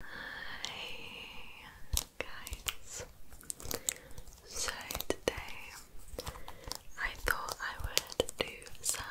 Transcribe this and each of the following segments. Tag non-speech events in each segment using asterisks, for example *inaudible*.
Hi guys. So today I thought I would do some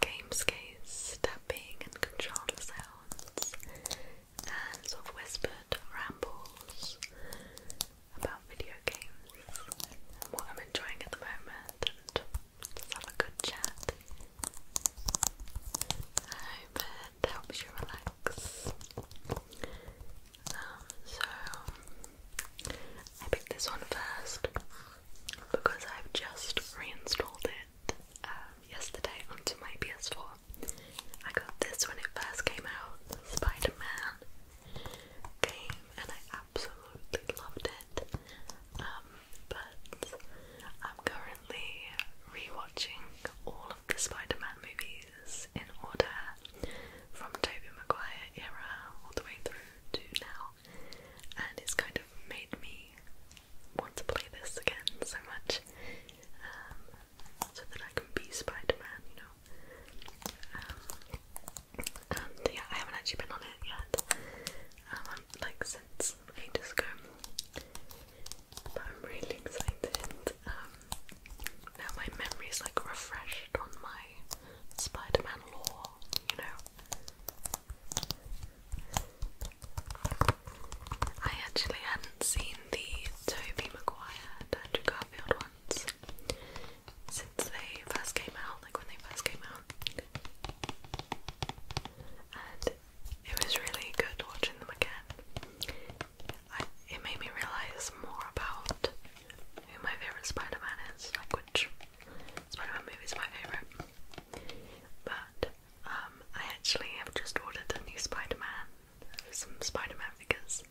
game gamescape stepping and controller sounds and sort of whispered rambles about video games and what I'm enjoying at the moment and just have a good chat that helps you relax. Um, so I picked this one first because I've just reinstalled it um, yesterday onto my PS4. I got this when it first came out, Spider-Man game, and I absolutely loved it. Um, but I'm currently rewatching all of the Spider-Man movies in order from Tobey Maguire era all the way through to now, and it's kind of made me want to play this again so much, um, so that I can be Spider-Man, you know. Um, and yeah, I haven't actually been on it yet. Um, like since ages ago. I'm really excited. Um, now my memory's like refreshed on my Spider-Man lore, you know. I actually hadn't seen the Tobey Maguire Andrew Garfield ones since they first came out, like when they first came out it was really good watching them again. it made me realise more about who my favourite Spider-Man is, like which Spider-Man movie is my favourite. But um, I actually have just ordered a new Spider-Man, some Spider-Man figures.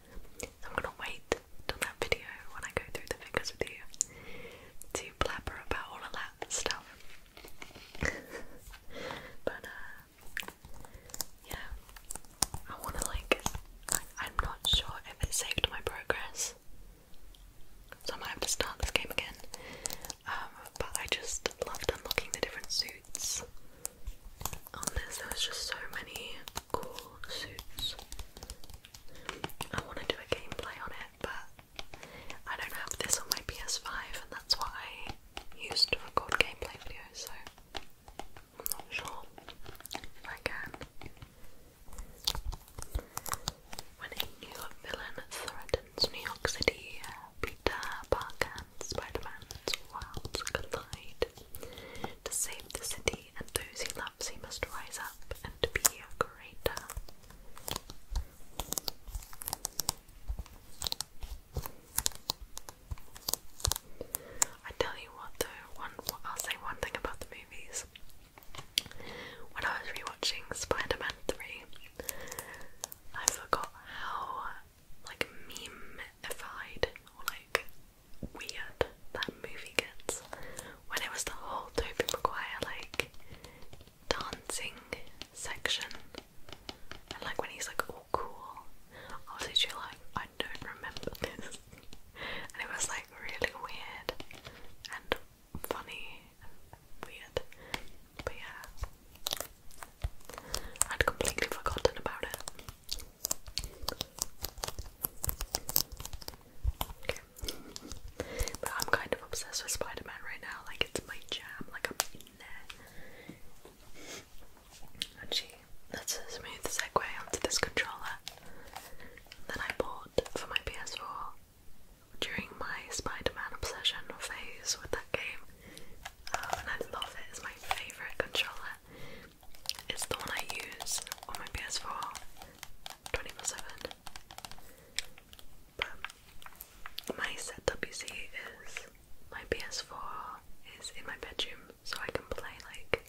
I'm gonna wait till that video when I go through the figures with you to blabber about all of that stuff. *laughs* but uh, yeah, I want to like, I, am not sure if it saved my progress, so I might have to start this game again, um, but I just loved unlocking the different suits on this, there just so many cool suits. I want to do a gameplay on it, but I don't have this on my PS5, and that's why used to record gameplay videos, so I'm not sure if I can. When a new villain threatens New York City, Peter Parker Spider-Man's worlds collide. To save the city and those he loves, he must rise up and be greater. I tell you what though, one I'll say one thing about the movies. When I was rewatching Spider-Man 3, I forgot how like memeified like weird that movie gets. When it was the whole Tobey Maguire like dancing section and like when he's like all cool I was literally like I don't remember this *laughs* and it was like really weird and funny weird but yeah I'd completely forgotten about it Okay. But I'm kind of obsessed with spider right now, like it's my jam, like I'm there. Actually, that's a smooth segue onto this controller that I bought for my PS4 during my Spider-Man obsession phase with that game. Um, and I love it, it's my favourite controller. It's the one I use on my PS4 24-7. But my setup, you is my PS4 is in my bedroom, so I can play like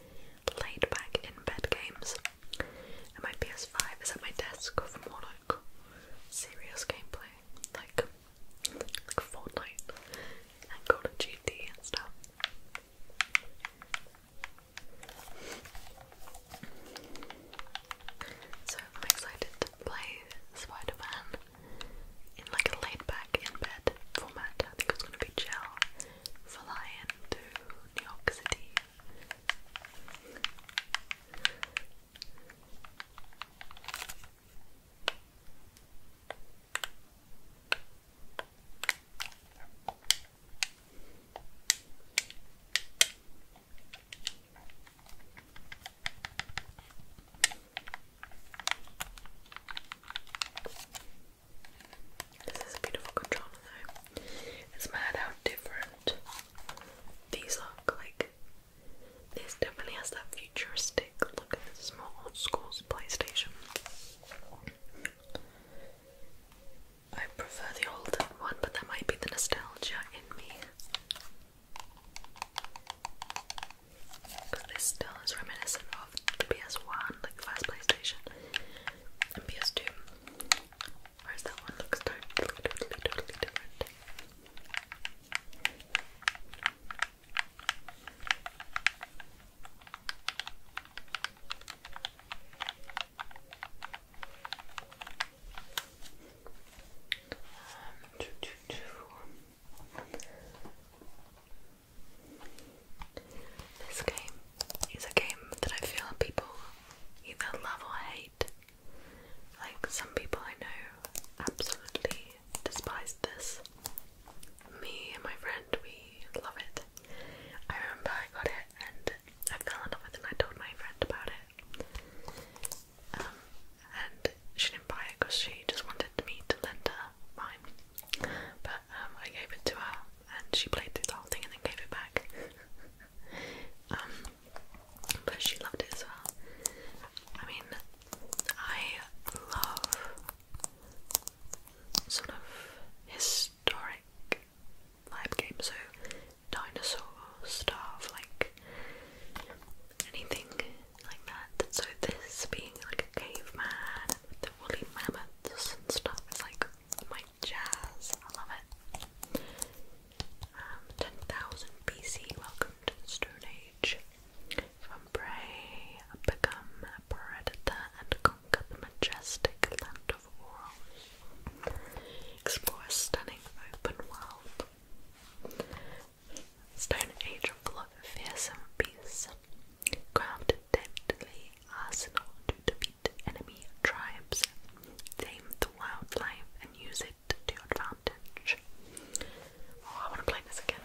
laid back in bed games. And my PS5 is at my desk for more like serious gameplay, like like Fortnite and Call of Duty and stuff. So I'm excited to play Spider-Man in like a laid back in bed format. I think it's gonna be gel flying to New York City. This is a beautiful controller though. It's mad how different these look like. This definitely has that futuristic look. This is more old schools PlayStation. I prefer the old one, but there might be the nostalgia in me. Because this still is reminiscent of the PS1, like the last PlayStation and PS2. Whereas that one looks totally, totally, totally different. Um, two, two, two. This game is a game that I feel people either love or hate. Like some people I know absolutely despise this. Me and my friend, we love it. I remember I got it and I fell in love with it I told my friend about it. Um, and she didn't buy it because she just wanted me to lend her mine. But um, I gave it to her, and she played through the whole thing and then gave it back. Um, but she loved it as well. I mean, I love sort of historic live games, so dinosaur stuff, like anything like that. So this being like a caveman, the woolly mammoths and stuff is like my jazz. I love it. Um, 10,000 BC, welcome to the Stone Age. From prey, become a predator and conquer the majestic land of Oros. Explore a stunning open world. Stone Age full of fearsome beasts, crafted deadly arsenal to defeat enemy tribes, tame the wildlife, and use it to your advantage. Oh, I want to play this again.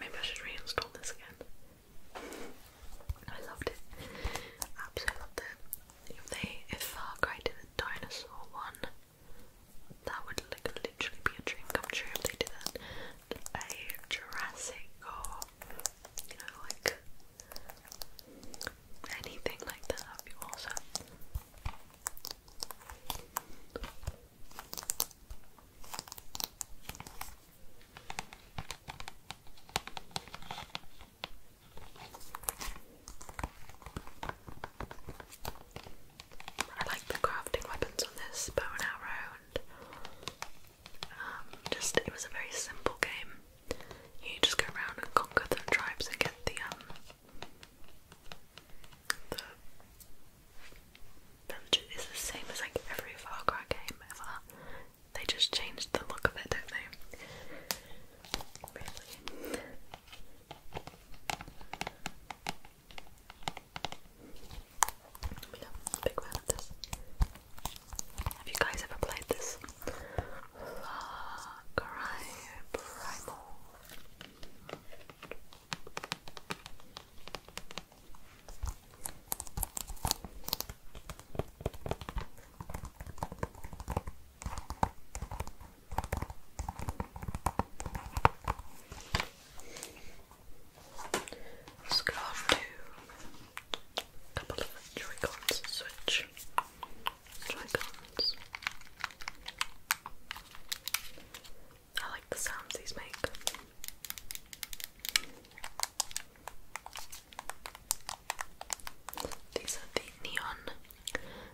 Maybe I should reinstall this again. I loved it. Absolutely loved it. If they if a dinosaur one, that would like literally be a dream come true if they did a Jurassic or you know like anything like that would be awesome. I like the crafting weapons on this bow and arrow, um, just it was a very simple game. You just go around and conquer the tribes and get the um, the dungeon. the same as like every Far Cry game ever. They just changed the look of it, don't they? Really. Yeah, Have you guys ever played this? Let's go a couple of Joy-Cons switch. Joy-Cons. I like the sounds these make. These are the neon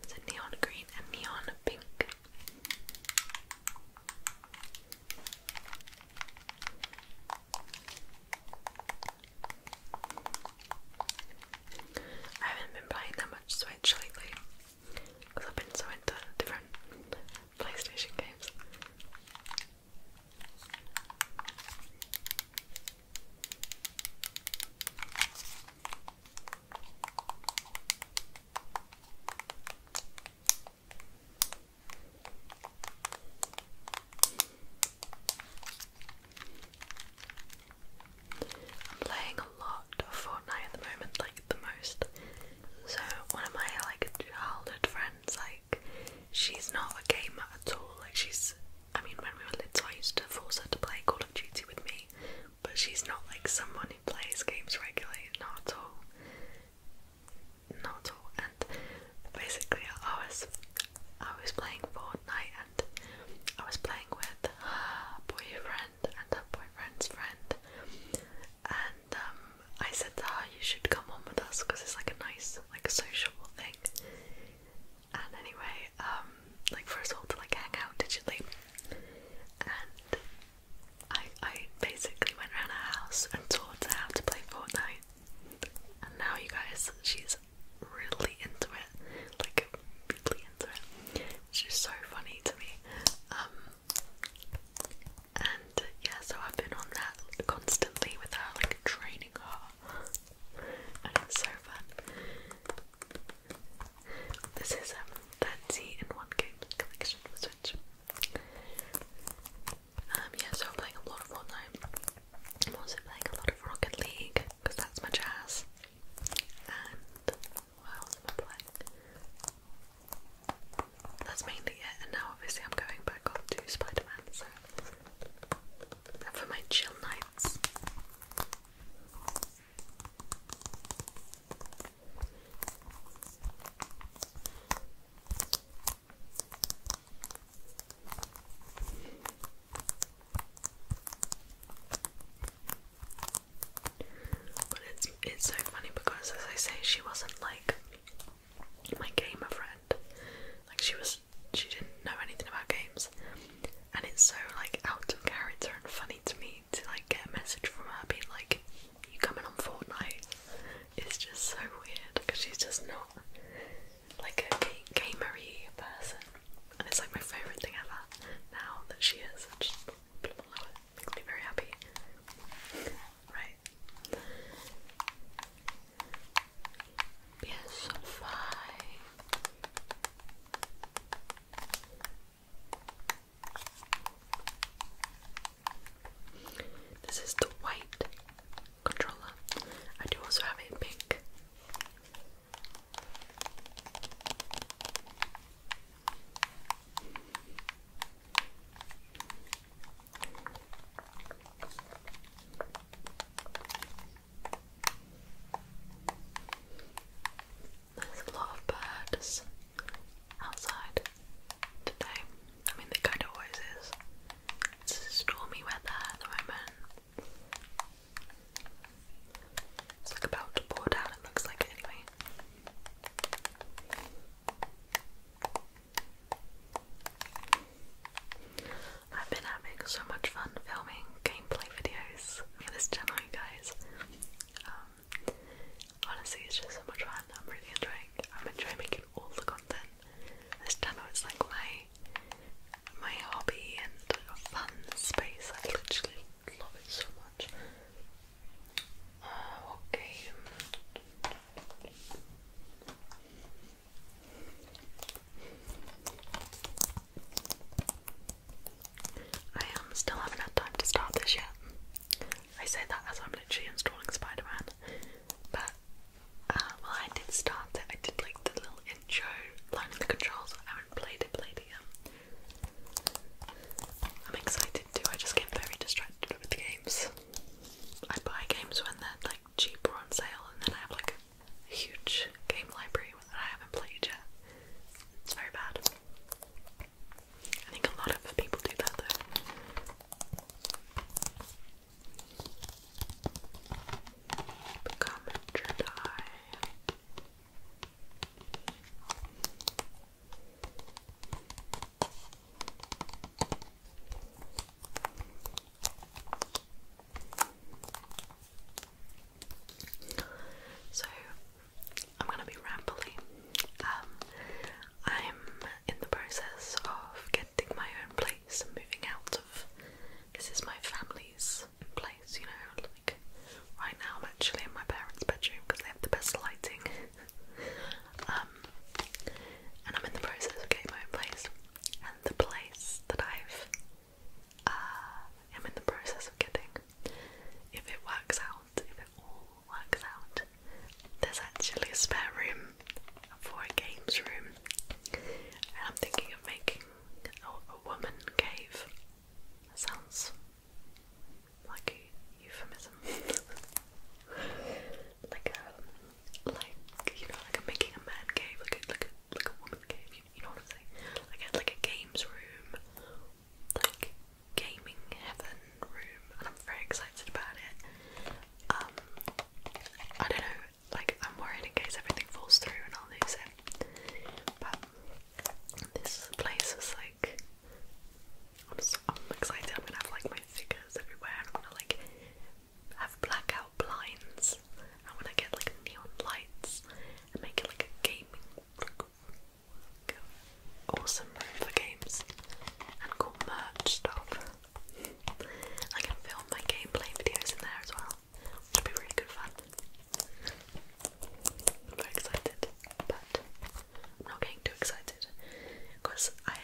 it's a neon green and neon pink. I haven't been playing that much Switch lately I've been so into different PlayStation games. I'm playing a lot of Fortnite at the moment, like the most. So one of my like childhood friends, like she's not a gamer at all. Like she's, I mean, when we were little, I used to force her to play Call of Duty with me, but she's not like someone who plays games regularly, not at all. Not at all. And basically, I was I was playing Fortnite, and I was playing with her boyfriend and her boyfriend's friend. And um, I said to her, "You should come on with us because it's like a nice, like a sociable thing." And anyway, um, like for us all to like hang out digitally. And I I basically went around her house and taught her how to play Fortnite. And now you guys, she's really into it. Like really into it. Which so funny to me. Um and yeah, so I've been on that constantly with her, like training her. And it's so fun. This is a um, fancy C in one game collection for Switch. Um, yeah, so playing a lot of Fortnite. I'm also playing a lot of Rocket League because that's my jazz. And what That's mainly it. And now, obviously, I'm going back to Spider Man. So for my chill nights, but it's it's so funny because as I say she wasn't like my gamer friend. Like she was she didn't know anything about games. And it's so like out of character and funny to me to like get a message from her being like, "You coming on Fortnite?" It's just so weird because she's just not like a ga gamery person, and it's like my favorite thing ever now that she is. I just very happy. Right. This is the white controller. I do also have a pink. There's a lot of birds outside today. I mean, there kind of always is. It's a stormy weather at the moment. It's like about to pour down, it looks like, anyway. I've been having so much fun filming gameplay videos for this channel, guys. Um, honestly, it's just so much fun. I'm really enjoying. I'm enjoying making all the content. This channel is like my my hobby and fun space. I literally love it so much. okay. Uh, I am um, still haven't had time to start this yet. I say that as I'm literally installing spider but uh, well, I did start it. I did like the little intro, learning the controls. I haven't played it, yet. I'm excited too. I just get very distracted with games. I buy games when they're like cheap or on sale, and then I have like a huge game library that I haven't played yet. It's very bad. I think a lot of people do that though. So I'm gonna be rambling. Um, I'm in the process of getting my own place and moving out of. This is my family's place, you know. Like right now, I'm actually in my parents' bedroom because they have the best lighting. *laughs* Um, and I'm in the process of getting my own place, and the place that I've uh, am in the process of getting. If it works out, if it all works out, there's actually a spare room for a games room, and I'm thinking of making a, woman cave. sounds like euphemism, *laughs* like like you know, like making a man cave, like a like a like a woman cave. You, know what I'm saying? Like like a games room like gaming heaven room and I'm very excited about it. Um I don't know, like I'm worried in case everything falls through and I'll lose it. But this place is like I'm, excited, I'm gonna have like my figures everywhere I'm gonna like have blackout blinds. I wanna get like neon lights and make it like a gaming Awesome for games and cool merch stuff. I can film my gameplay videos in there as well, which would be really good fun. I'm very excited, but I'm not getting too excited because I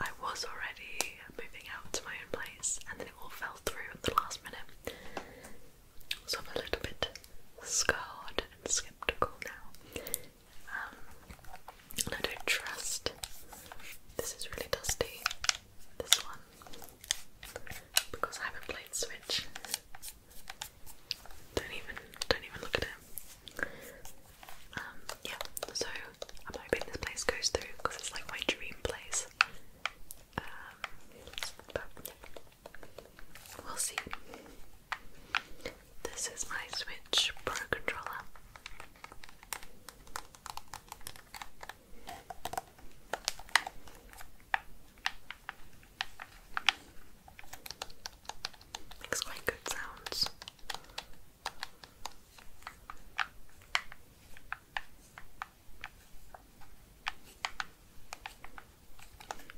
I was already moving out to my own place and then it all fell through at the last minute. So I'm a little bit scarred and skeptical now. Um, and I don't trust. This is really dusty, this one, because I haven't played Switch. Don't even, don't even look at it. Um, yeah, so I'm hoping this place goes through because it's like my dream place. Um, but We'll see. This is my Switch Pro controller. Makes quite good sounds.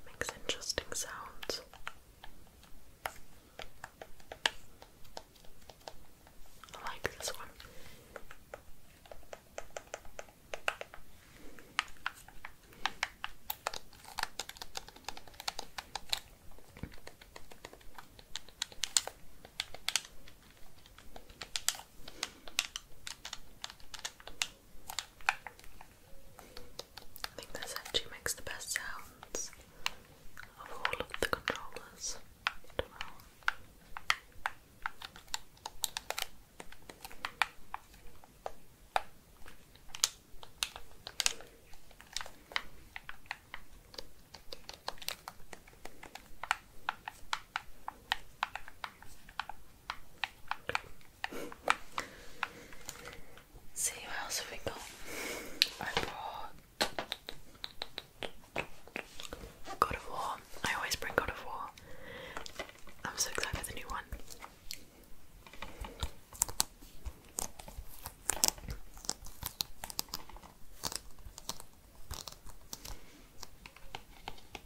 Makes interesting sounds. I like this one. I think this actually makes the best sounds of all of the controllers. See what else have we got? I brought God of War. I always bring God of War. I'm so excited for the new one. I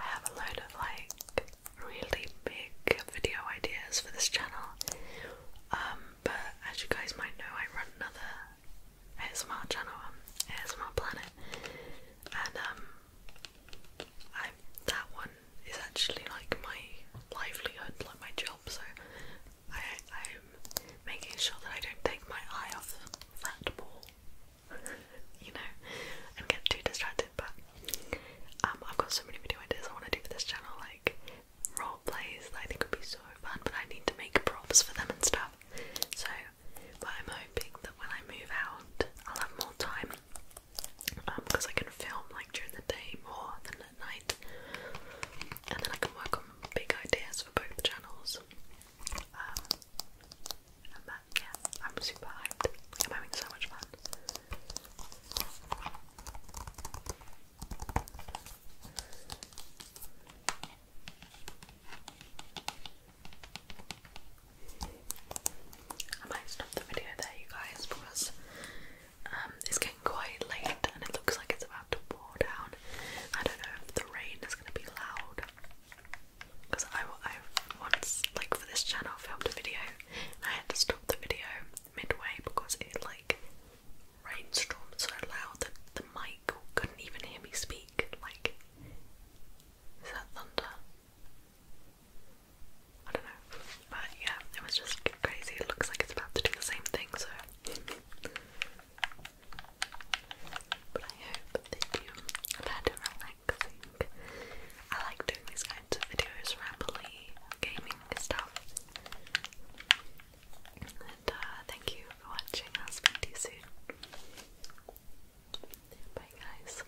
have a load of like really big video ideas for this channel, um, but as you guys might know, I run another ASMR channel ASMR Planet, and um, I that one is actually like my livelihood, like my job. So I am making sure that I don't take my eye off that ball, *laughs* you know, and get too distracted. But um, I've got so many video ideas I want to do for this channel, like role plays that I think would be so fun. But I need to make props for them and stuff. So, I'm hoping that when I move out, I'll have more time because um, I can film like during the day more than at night, and then I can work on big ideas for both channels. Um, I'm super hyped. I'm having so much fun. I might stop the video there, you guys, because um, it's getting quite late and it looks like it's about to pour down. I don't know if the rain is going to be loud. Because I, once, like for this channel, filmed a video and I had to stop the video midway because it like rainstormed so loud that the mic couldn't even hear me speak. Like, is that thunder? I don't know. But yeah, it was just crazy. It looks like it's about to do the same thing, so. But I hope that you found relaxing. I like doing these kinds of videos, rambly gaming stuff. And uh, thank you for watching. I'll speak to you soon. Bye, guys.